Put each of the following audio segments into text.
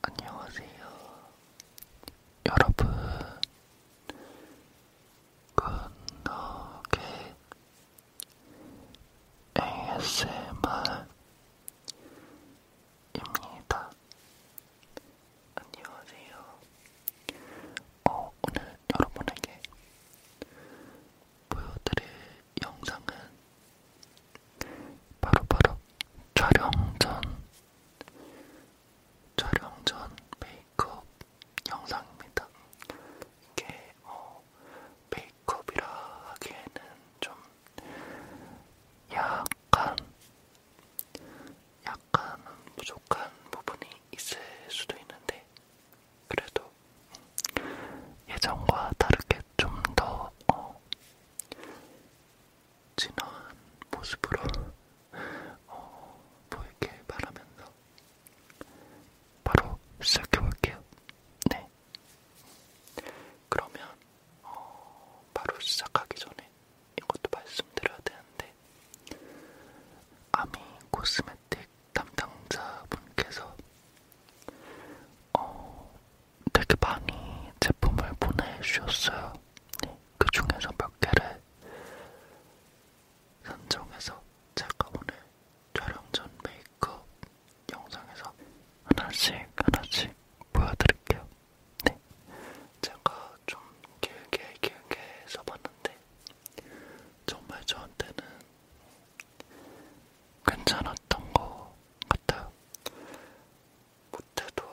안녕하세요. 여러분, 굿노게 ASMR입니다. 안녕하세요. 어, 오늘 여러분에게 보여드릴 영상은 바로바로 바로 촬영 전 촬영 전 메이크업 영상입니다. 이게 어, 메이크업이라 하기에는 좀 약간 약간 부족한 부분이 있을 수도 있는데 그래도 예전과 다르게 좀더 어, 진화한 모습으로 어, 보이길 바라면서 바로 시작해볼게요. 네. 그러면 어, 바로 시작하기 전에 이것도 말씀드려야 되는데 아미 코스메틱 담당자분께서 어, 되게 많이 제품을 보내주셨어요. 네, 그 중에서 몇 개를 선정해서 제가 오늘 촬영 전 메이크업 영상에서 하나씩 하나씩 보여드릴게요. 네, 제가 좀 길게 길게 써봤는데 정말 저한테는 괜찮았던 것 같아요. 못해도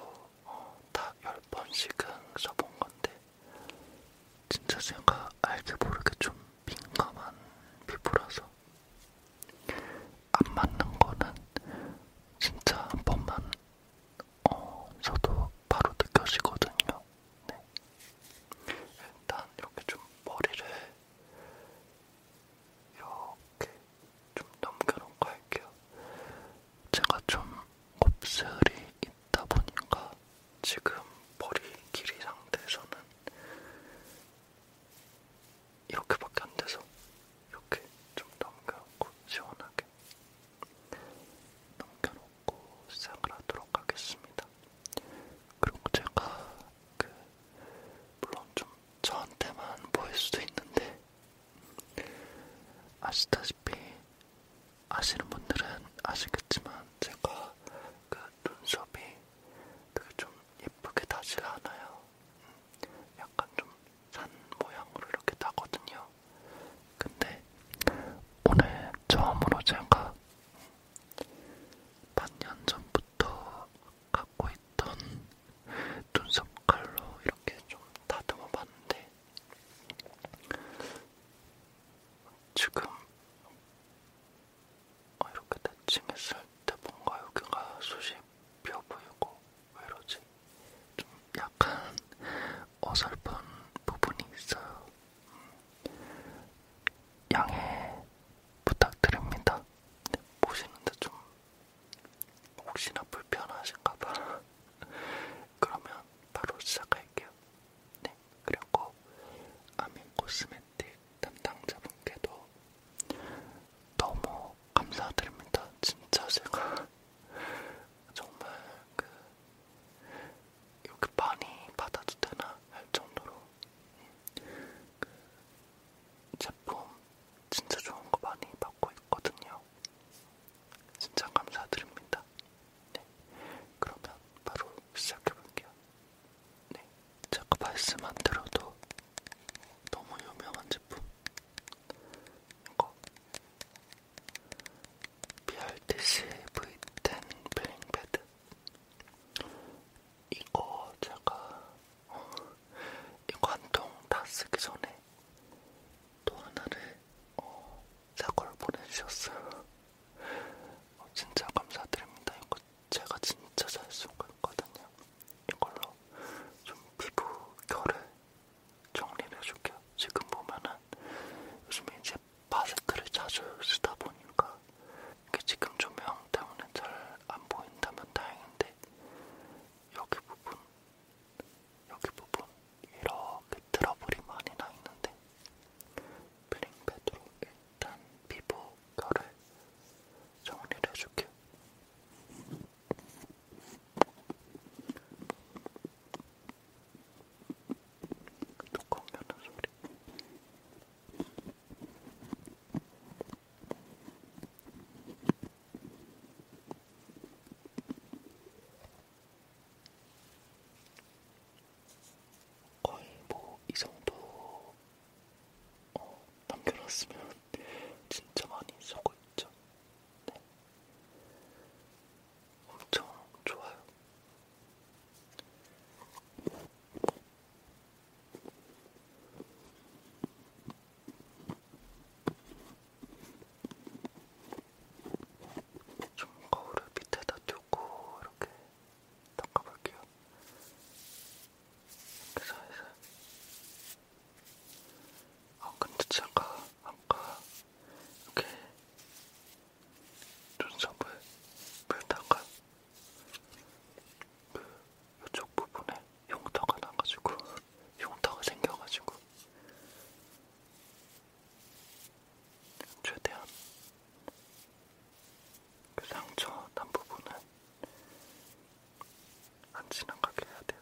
어, 다 10번씩은 써본 건데 진짜 제가 알게 모르게 좀 민감한 피부라서 안 맞는 거는 진짜 한 번만 어, 저도 바로 느껴지거든요. 네. 일단 이렇게 좀 머리를 이렇게 좀 넘겨놓고 할게요. 제가 좀 곱슬이 있다 보니까 지금 머리 길이 상태에서는 이렇게밖에 안 돼서 이렇게 좀 넘겨놓고 시원하게. 넘겨놓고 시작을 하도록 하겠습니다. 그리고 제가 그 물론 좀 저한테만 보일 수도 있는데 아시다시피 아시는 분들은 아시겠지만 제가 그 눈썹이 되게 좀 예쁘게 다질 않아요. 음, 약간 좀 산 모양으로 이렇게 다거든요. 근데 오늘 처음으로 제가 반년 전부터 갖고 있던 눈썹 칼로 이렇게 좀 다듬어 봤는데 지금 어, 이렇게 대칭했을 때 뭔가 여기가 숱이 비어 보이고 왜 이러지? 좀 약간 어설픈 부분이 있어요. 양해 부탁드립니다. 보시는데 좀 혹시나 불편하신가봐. 그러면 바로 시작할게요. 네, 그리고 아민 코스메틱 담당자분께도 너무 감사드립니다. 진짜 제가 정말 그 이렇게 많이 받아도 되나 할 정도로 그 제품 진짜 좋은 거 많이 받고 있거든요. 진짜 감사드립니다. 네, 그러면 바로 시작해볼게요. 네, 제가 말씀만 들어도 너무 유명한 제품 이거 BRTC V10 블링패드 이거 제가 어, 이거 한통다 쓰기 전에 또 하나를 어, 사고를 보내주셨어요. 어, 진짜 감사드립니다. 이거 제가 진짜 잘 쓰고 있거든요. 이걸로 좀 피부 결을 정리를 해줄게요. 지금 보면은 요즘에 이제 마스크를 자주 쓰다 보니까 이게 지금 조명 때문에 잘 안 보인다면 다행인데 여기 부분, 여기 부분 이렇게 트러블이 많이 나 있는데 블링패드로 일단 피부 결을 정리를 해줄게요. 뚜껑 여는 소리. 거의 뭐 이 정도 어, 남겨놨으면 진짜 많이 쓰고 있죠. 네. 엄청 좋아요. 좀 거울을 밑에다 두고 이렇게 닦아볼게요. 이렇게 살살. 아 근데 제가 아까 이렇게 눈썹을 물다가 그 이쪽 부분에 용타가 나가지고 용타가 생겨가지고 최대한 그 상처 난 부분은 안 지나가게 해야 돼요.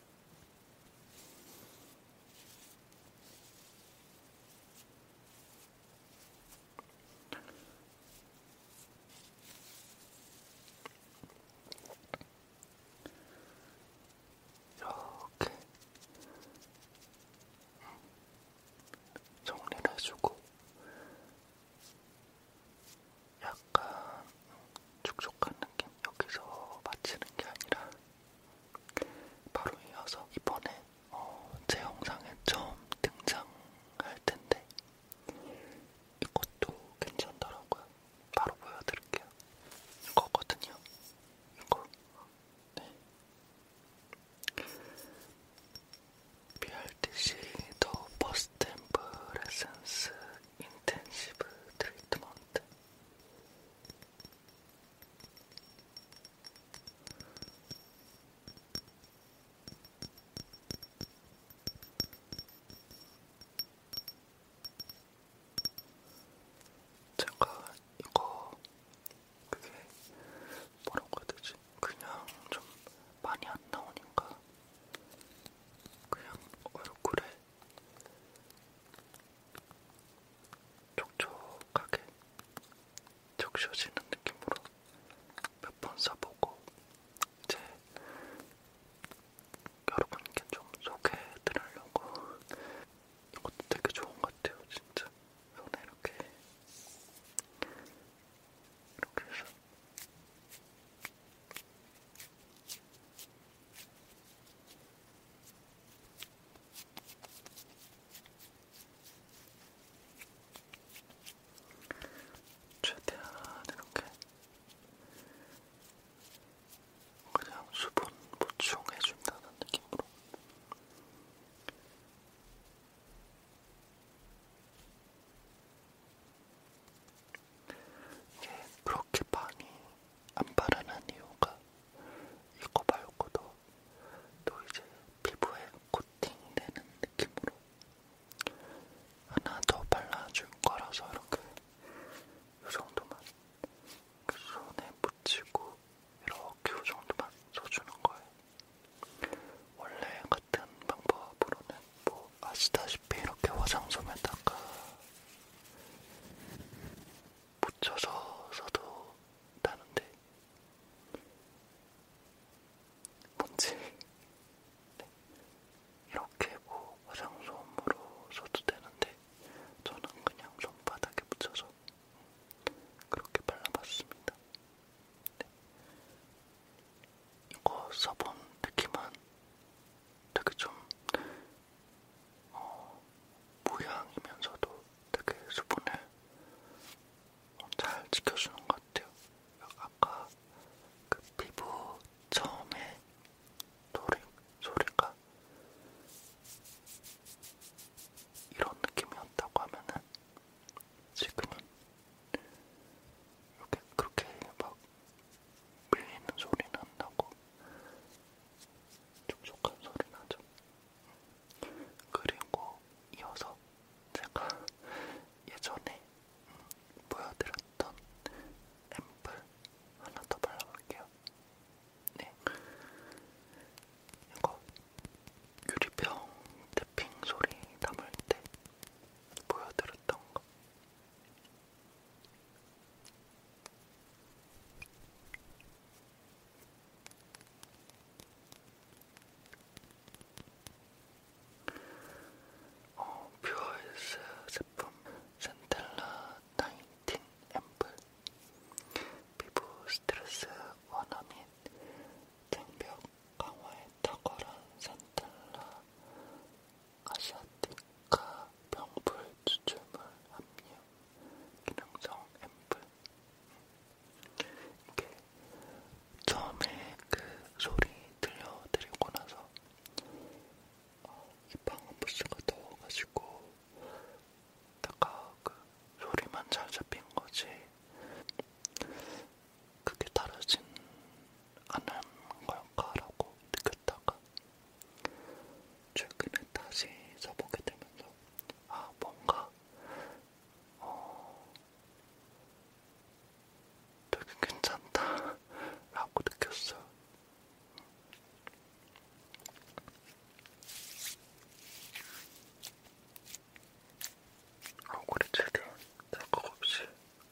이렇게 정리를 해주고 약간 촉촉한 느낌 여기서 맞히는 게 아니라 바로 이어서 이번에 어, 제 영상에 처음 등장할 텐데 이것도 괜찮더라고요. 바로 보여드릴게요. 이거거든요. 이거. 네. BRTC 더 버스템프 레센스 인텐시브 트리트먼트 제가 이거 그게 뭐라고 해야 되지? 그냥 좀 많이 안 나오니까 그냥 얼굴에 촉촉하게 적셔지는 느낌으로 몇 번 써보고 이제 여러분께 좀 소개해드리려고 이것도 되게 좋은 것 같아요 진짜 손에 이렇게 이렇게 해서 최대한 이렇게 그냥 수분 보충해준다는 느낌으로 이게 그렇게 많이 안 바르는 이유가 이거 말고도 또 이제 피부에 코팅되는 느낌으로 하나 더 발라줄 거라서 이렇게 이 정도만 그 손에 묻히고 이렇게 이 정도만 써주는 거예요. 원래 같은 방법으로는 뭐 아시다시피 이렇게 화장솜에다가 묻혀서 써도 나는데 뭔지 네. 이렇게 뭐 화장솜으로 써도 되는데 저는 그냥 손바닥에 묻혀서 그렇게 발라봤습니다. 네. 이거 써본 느낌은 되게 좀 어, 모양이면서도 되게 수분을 잘 지켜주는 것 같아요. 아까 그 피부 처음에 소리, 소리가 이런 느낌이었다고 하면은 지금은 이렇게 그렇게 막 밀리는 소리 난다고 촉촉한 소리 나죠. 그리고 이어서 제가 예전에 보여드렸던 앰플 하나 더 발라볼게요. 네, 이거 유리병 태핑 소리 담을 때 보여드렸던 거 어, 뷰어스 제품 센텔라 19 앰플 피부 스트레스 완화 및 장벽 강화에 탁월한 센텔라 아시아티카 병풀 추출물 함유 기능성 앰플 이게 처음에 그 소리 들려드리고 나서 어, 이 방음부스가 더워가지고 다가 그 소리만 잘 잡힌 거지 그게 다르진 않은 걸까라고 느꼈다가 최근에 다시 써보게 되면서 아 뭔가 어 되게 괜찮다 라고 느꼈어요. 얼굴이 지금 생각 없이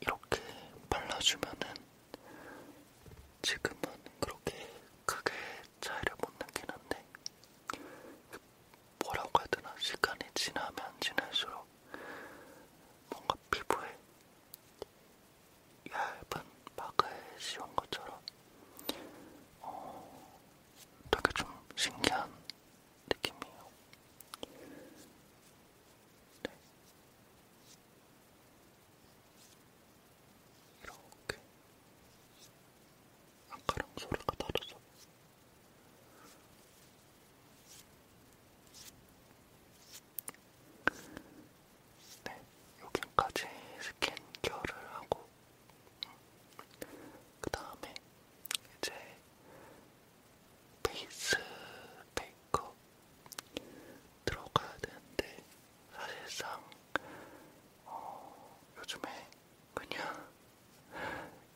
이렇게 발라주면은 지금은 그렇게 크게 차이를 못 느끼는 데 뭐라고 해야 되나 시간이 지나면 지날수록 뭔가 피부에 얇은 막을 씌운 것처럼 어, 되게 좀 신기한 느낌이에요. 네. 이렇게 아까랑 소리가 다르죠? 네, 여기까지 스킨 케어를 하고 그 다음에 이제 베이스 메이크업 들어가야 되는데 사실상 어, 요즘에 그냥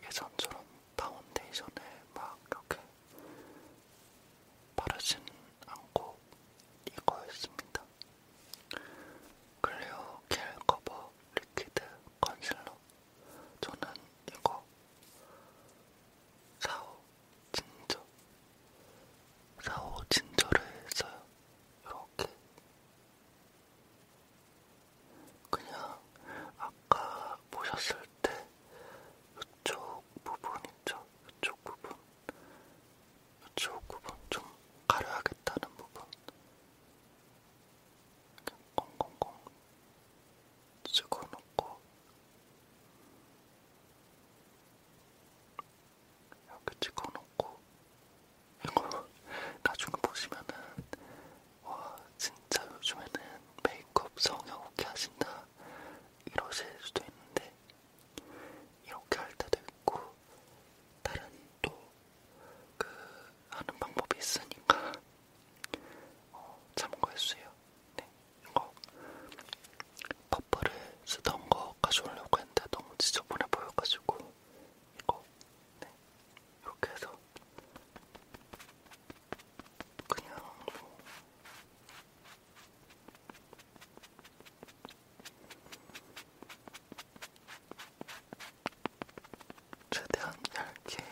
예전처럼 파운데이션을 막 이렇게 바르진 않고 이거였습니다. 클리오 겔 커버 리퀴드 컨실러 저는 이거 사오 진저 사오 진저를 써요. 이렇게 그냥 아까 보셨을 때 이쪽 부분 있죠? 이쪽 부분 이쪽 부분 좀 가려야겠다는 부분 꽁꽁꽁 찍어놓고 이렇게 찍어놓고 이거 나중에 보시면은 와 진짜 요즘에는 메이크업 성형 어떻게 하신다 이러실 수도 있는데 이렇게 할 때도 있고 다른 또그 하는 방법이 있으니까 어, 참고했어요. 네, 이거 퍼프를 쓰던 거 가져오려고 했는데 너무 지저분해 보여가지고 이거 네, 이렇게 해서 그냥 뭐 최대한 얇게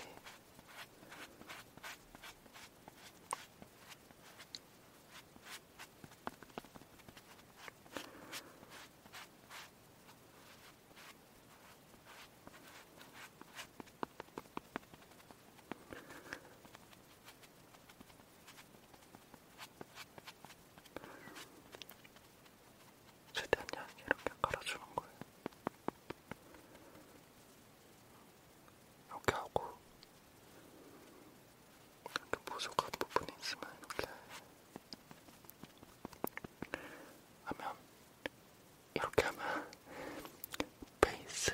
최대한 얇게 이렇게 깔아주는 거예요. 이렇게 하고 이렇게 부족한 부분이 있으면 이렇게 하면 이렇게 하면 베이스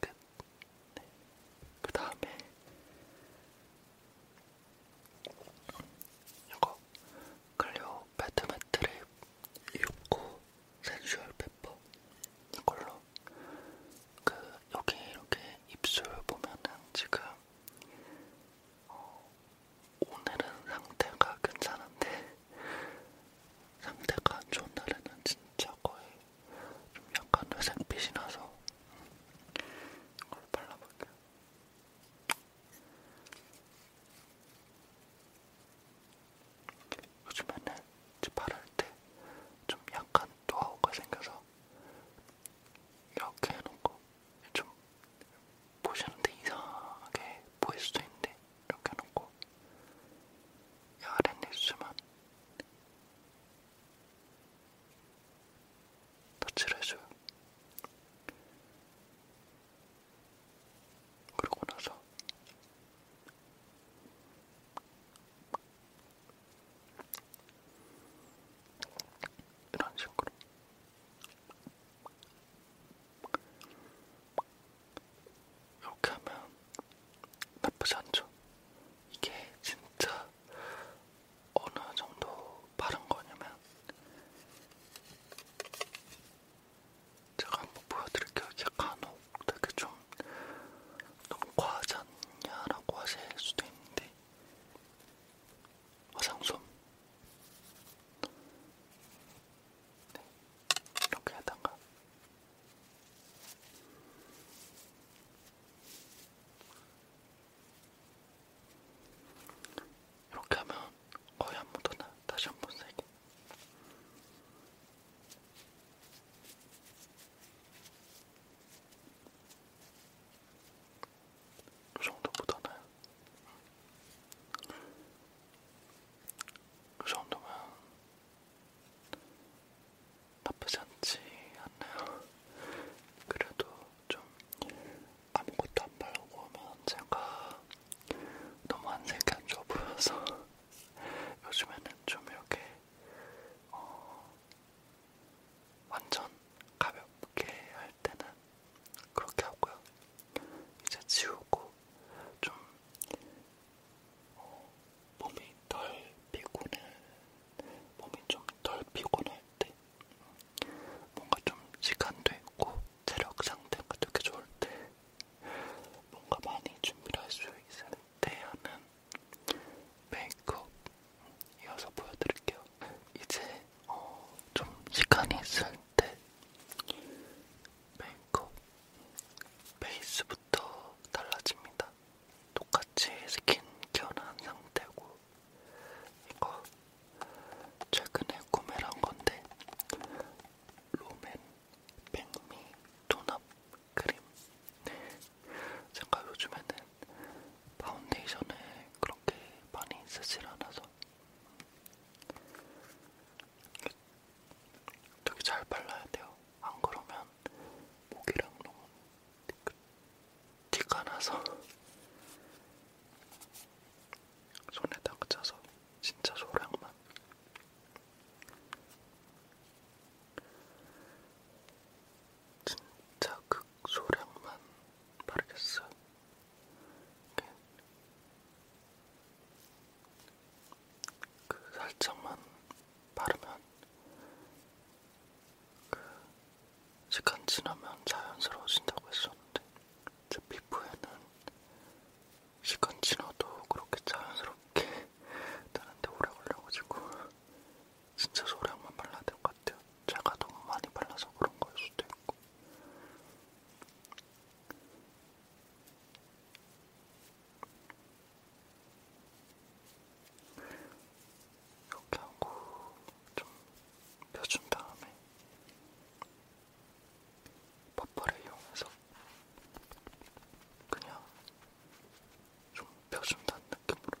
끝. 네. 그 다음에 이거 클리오 배트매트립 6호 센슈얼 페퍼 이걸로 그 여기 이렇게 입술 보면은 지금 어, 오늘은 상태가 괜찮은데 상태가 안 좋은 날에는 진짜 거의 좀 약간 회색빛이 나서 음, 이걸로 발라볼게요. 요즘에는 집팔할 때좀 약간 노하우가 생겨서 이렇게 해놓고 좀 보시는데 이상하게 보일 수도 있는데 이렇게 해놓고 이 아랫입술만 터치를 해줘요. 그러고 나서 이런 식으로 이렇게 하면 나쁘지 않죠. 이게 진짜 어느 정도 바른 거냐면 제가 한번 보여드릴게요. 약간 되게 좀 너무 과하지 않냐라고 하실 수도 있는데 화장솜 네, 이렇게 하다가 이렇게 하면 거의 안 묻어나. 다시 한번 세게. 이 정도 묻어나요. 이 정도면 나쁘지 않지 않나요? 그래도 좀 아무것도 안 바르고 하면 제가 너무 안색이 안 좋아 보여서 요즘에는 좀 이렇게 어 완전 가볍게 할 때는 그렇게 하고요. 이제 지우고 좀 어, 몸이 덜 피곤해 몸이 좀 덜 피곤할 때때 뭔가 좀 시간도 있고 체력 상태가 되게 좋을 때 뭔가 많이 준비를 할 수 있을 때 하는 메이크업 이어서 보여드릴게요. 이제 어, 좀 시간이 있을 때 메이크업 베이스부터 달라집니다. 똑같이 스킨케어는 한 상태고 이거 최근에 구매를 한 건데 로맨 백미 톤업 크림. 제가 요즘에는 파운데이션을 그렇게 많이 쓰질 않아서 되게 잘 발라야 돼요. 안 그러면 목이랑 너무 티가 나서 손에다가 짜서 진짜 소량만 진짜 극소량만 그 바르겠어요. 그 살짝만 바르면 그 시간 지나면 자연스러워진다고 했었는데 제 피부에는 시간 지나도 그렇게 자연스럽게 되는데 오래 걸려가지고 진짜 소량만 발라야 될 것 같아요. 제가 너무 많이 발라서 그런 거일 수도 있고 이렇게 하고 좀 펴준 다음에 버퍼를 이용해서 그냥 좀 펴준다는 느낌으로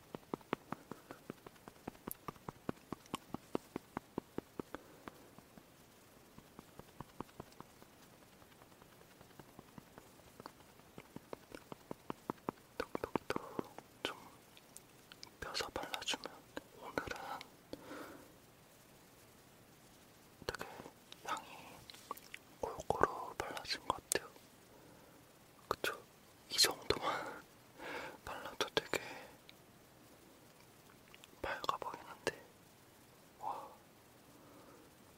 톡톡톡 좀 펴서 발라주면 오늘은 되게 향이 골고루 발라진 것 같아요. 그쵸? 이 정도만 발라도 되게 밝아 보이는데, 와,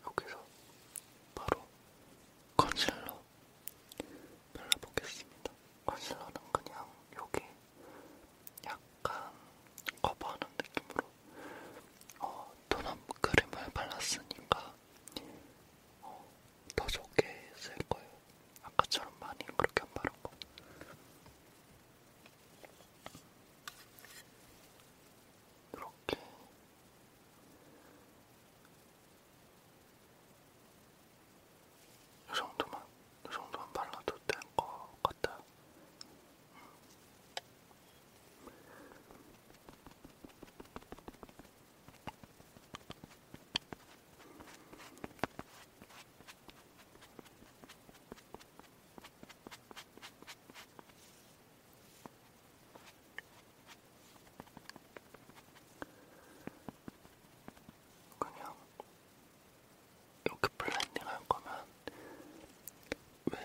여기서 바로 컨실러 발라보겠습니다. 컨실러는 그냥 여기 약간 커버하는 느낌으로 어, 톤업 크림을 발랐으니까 어, 더 적게 쓸 거예요. 아까처럼 많이 그렇게 안 바른 거. 이렇게. 이 정도만, 이 정도만 발라도 될것 같아요. 음. 그냥 이렇게 블렌딩 할 거면 왜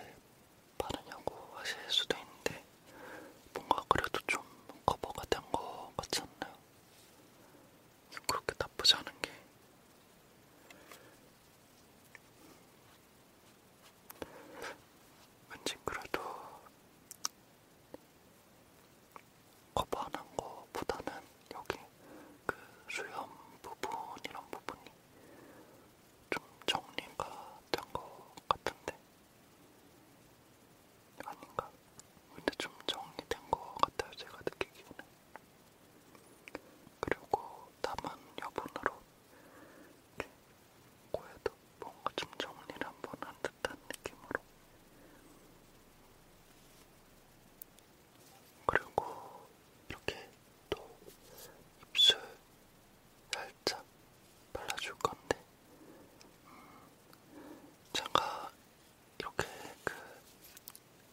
바르냐고 하실 수도 있는데 뭔가 그래도 좀 커버가 된 거 같지 않나요? 그렇게 나쁘지 않은 게 왠지 그래도 커버하는 거보다는 여기 그 수염 부분 이런 부분이 좀 정리가 된 것 같은데 아닌가? 근데 좀 정리된 것 같아요, 제가 느끼기에는. 그리고 다만 여분으로 고에도 뭔가 좀 정리를 한번 한 듯한 느낌으로. 그리고 이렇게 또 입술 살짝 발라줄 건데 제가 이렇게 그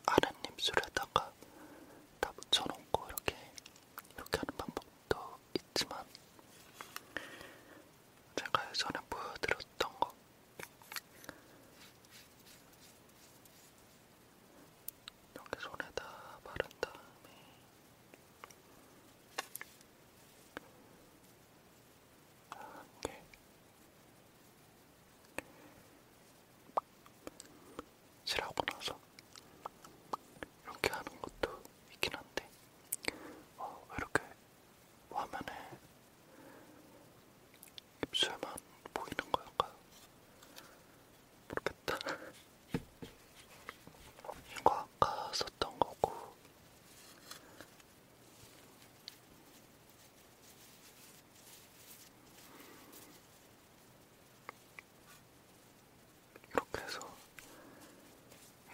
아랫입술에다가 다 붙여놓고 이렇게 이렇게 하는 방법도 있지만 제가 예전에 보여드렸던 거 이렇게 손에다 바른 다음에 네. 칠하고 나서 이렇게 하는 것도 있긴 한데 어, 이렇게 화면에 입술만 보이는 걸까요? 모르겠다. 이거 아까 썼던 거고 이렇게 해서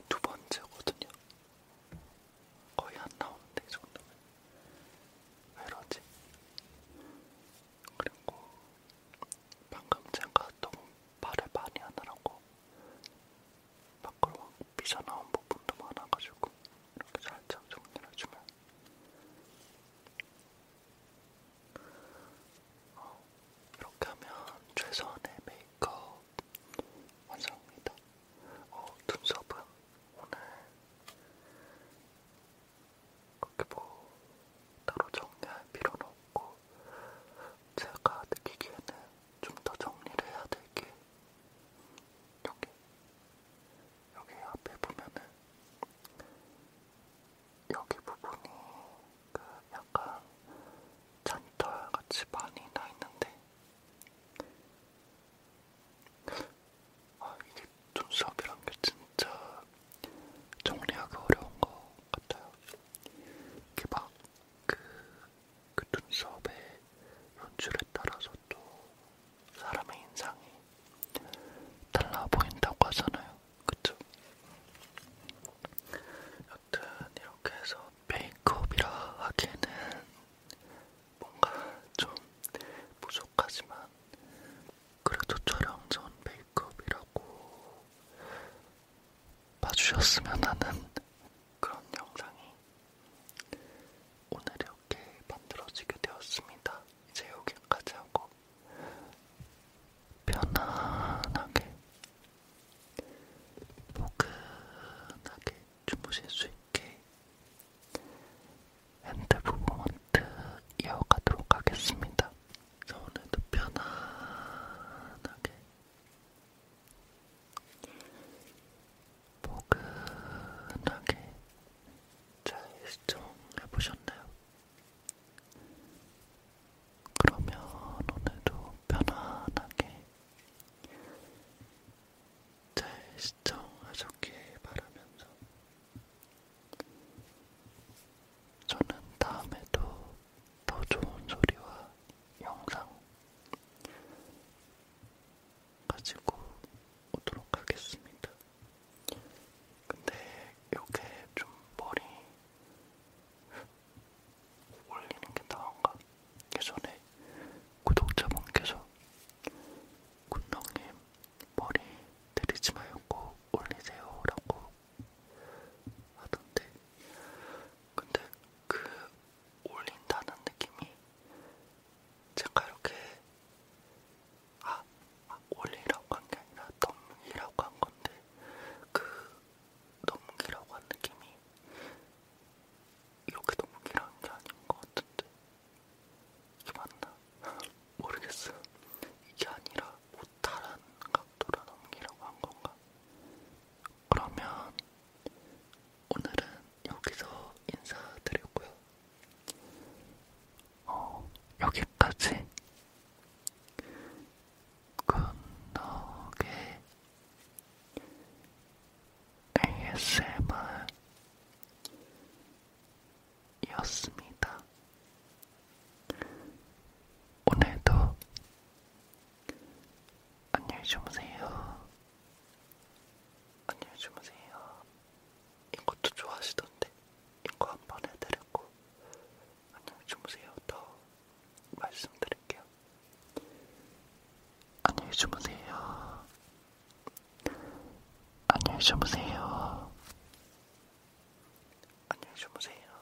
두 번째거든요. 거의 안 나오는데 이 정도면 왜러지? 그리고 방금 제가 너무 말을 많이 하느라고 밖으로 막 삐져나온 부분도 많아가지고 이렇게 살짝 정리를 해주면 어, 이렇게 하면 최선의 메이크업 완성입니다. 어, 눈썹은 오늘 그렇게 뭐 따로 정리할 필요는 없고 제가 느끼기에는 좀더 정리를 해야 될게 여기 여기 앞에 보면은 여기 부분이 그 약간 잔털 같이 많이 나 있는데 아 이게 눈썹이란 게 진짜 정리하기 어려운 것 같아요. 이렇게 막그 그 눈썹의 연출에 따라서 또 사람의 인상이 달라 보인다고 하잖아요. 그쵸? 여튼 이렇게 해서 메이크업이라 하기에는 뭔가 좀 부족하지만 그래도 촬영 전 메이크업이라고 봐주셨으면 하는 그런 영상이 오늘 이렇게 만들어지게 되었습니다. 이제 여기까지 하고 편안하게 포근하게 주무실 수 있게 핸드 무브먼트 이어가도록 하겠습니다. 오늘도 편안하게 포근하게 잘 시청해 보셨나요? 그러면 오늘도 편안하게 잘 시청하셨길 바라면서 저는 다음에도 더 좋은 소리와 영상 가지고 오도록 하겠습니다. 근데 이렇게 좀 머리 올리는 게 나은가? 예전에 구독자분께서 군동님 머리 내리지 말고 올리세요 라고 하던데 근데 그 올린다는 느낌이 제가 이렇게 아, 아 올리라고 한 게 아니라 넘기라고 한 건데 그 넘기라고 한 느낌이 이렇게 넘기라는 게 아닌 것 같은데 이게 맞나? 모르겠어. 이게 아니라 못하란 각도로 넘기라고 한 건가? 그러면 오늘은 여기서 인사드리고요. 어, 여기까지 굿노게 ASMR이었습니다. 오늘도 안녕히 주무세요. 안녕히 주무세요. 이것도 좋아하시던데 이거 한번 해드렸고 안녕히 주무세요. 더 말씀드릴게요. 안녕히 주무세요. 안녕히 주무세요. 안녕히 주무세요.